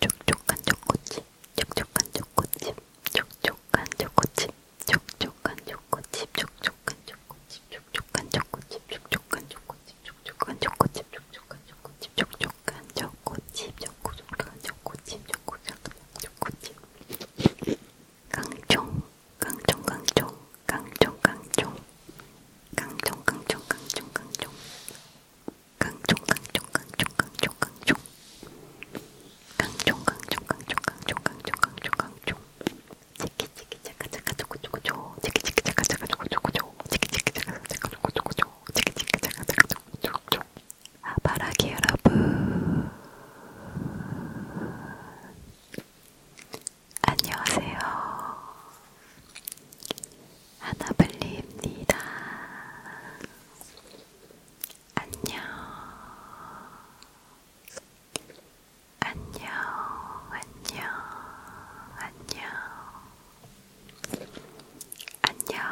촉촉한 초코칩, 촉촉한 초코칩, 촉촉한 초코칩, 촉촉한 초코칩, 촉촉한 초코칩, 촉촉한 초코칩, 촉촉한 초코칩, 촉촉한 초코칩, 촉촉한 초코칩, 촉촉한 초코칩, 촉촉한 초코칩, 촉촉한 초코칩, 강총, 강총, 강총, 강총, 강총, 강총, 강총, 강총, 강총. 강종 아, 강종 강종 강종 강종 강종 강종 강종 강종 강종 강종 강종 치키 치키 차카 차카 초코 초코 초 치키 치키 차카 차카 초코 초코 초 치키 치키 차카 차카 초코 초코 초 치키 치키 차카 차카 초코 초코 초 아바라기 여러분 안녕하세요 하나블리입니다. 안녕, 안녕, 안녕, 안녕, 안녕.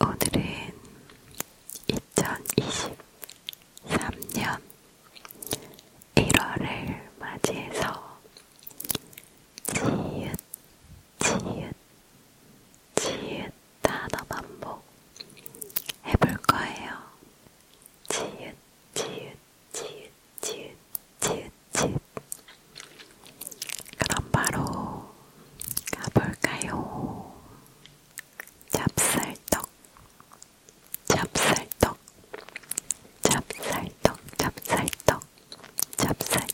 오늘은 2023년 1월을 맞이해서 지읒 지읒, 지읒 단어 반복 해볼 거예요. 지읒, 지읒, 지읒, 지읒, 지읒, 지읒. 그럼 바로 가볼까요? 찹쌀떡, 찹쌀떡, 찹쌀떡, 찹쌀떡, 찹쌀떡.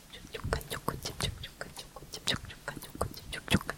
촉촉한 초코칩 촉촉한 초코칩 촉촉한 초코칩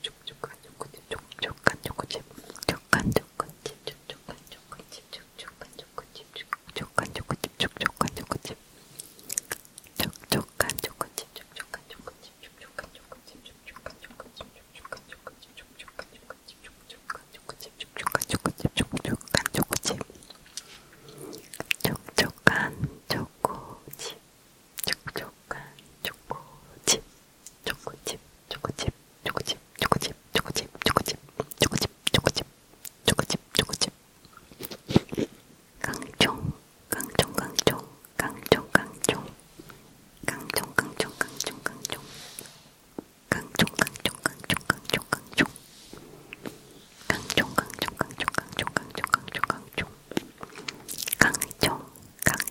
촉촉한 초코칩, 촉촉한 초코칩, 촉촉한 초코칩, 촉촉한 초코칩, 촉촉한 초코칩, 촉촉한 초코칩, 촉촉한 초코칩, 촉촉한 초코칩, 촉촉한 초코칩, 촉촉한 초코칩, 촉촉한 초코칩, 촉촉한 초코칩, 촉촉한 초코칩, 촉촉한 초코칩, 촉촉한 초코칩, 촉촉한 초코칩, 촉촉한 초코칩, 촉촉한 초코칩. 초코칩, 초코칩, 초코칩, 초코칩, 초코칩, 초코칩, 초코칩, 초코칩, 초코칩, 초코칩. 강총, 강총, 강총, 강총, 강총, 강총, 강총, 강총, 강총. 강총 강총 강총 강총 강총 강총 강총 강총 강총 강총 강총 강총 강총 강총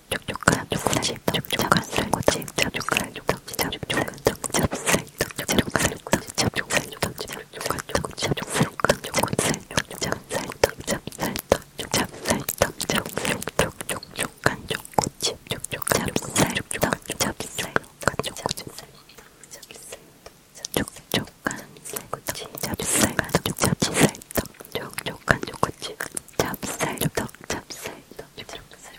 쪽쪽간 쪽다시 쪽쪽간 살꼬치 쪽쪽간 쪽덕지자 쪽쪽간 쪽잡살 쪽쪽간 쪽덕지자 쪽살 쪽덕지자 쪽간 쪽덕지자 쪽간 쪽건살 쪽잡살 쪽잡살 쪽잡살 쪽쪽쪽 쪽쪽간 쪽꼬치 쪽쪽간 쪽살 쪽쪽간 쪽잡살 쪽간 쪽꼬치 쪽쪽간 살꼬치 잡살간 쪽잡살 쪽쪽간 쪽꼬치 잡살 쪽덕 잡살 쪽쪽간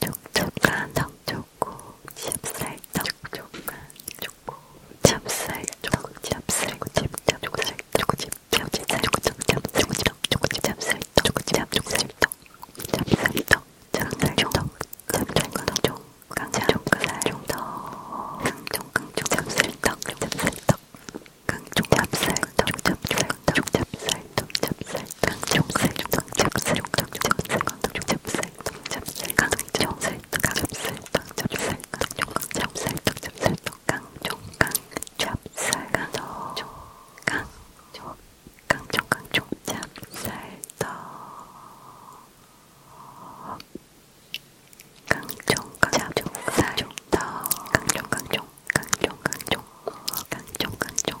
촉촉한 청초코 찹쌀떡 촉촉한 초코 찹쌀떡 찹쌀떡 찹쌀떡 찹쌀떡 찹쌀떡 찹쌀떡 찹쌀떡 찹쌀떡 찹쌀떡 강정강정강정강정 찹쌀떡 찹쌀떡 강정 찹쌀떡 찹쌀떡 찹쌀떡 찹쌀떡 강정살 강정살 강정살 강정살 강정살 강정살 강정살 강정살 강정살 강정살 강정 강정살 강정 강정 강정 강정 찹쌀떡 강정 강정 쌀떡 강정 강정 강정 강정 강정 강정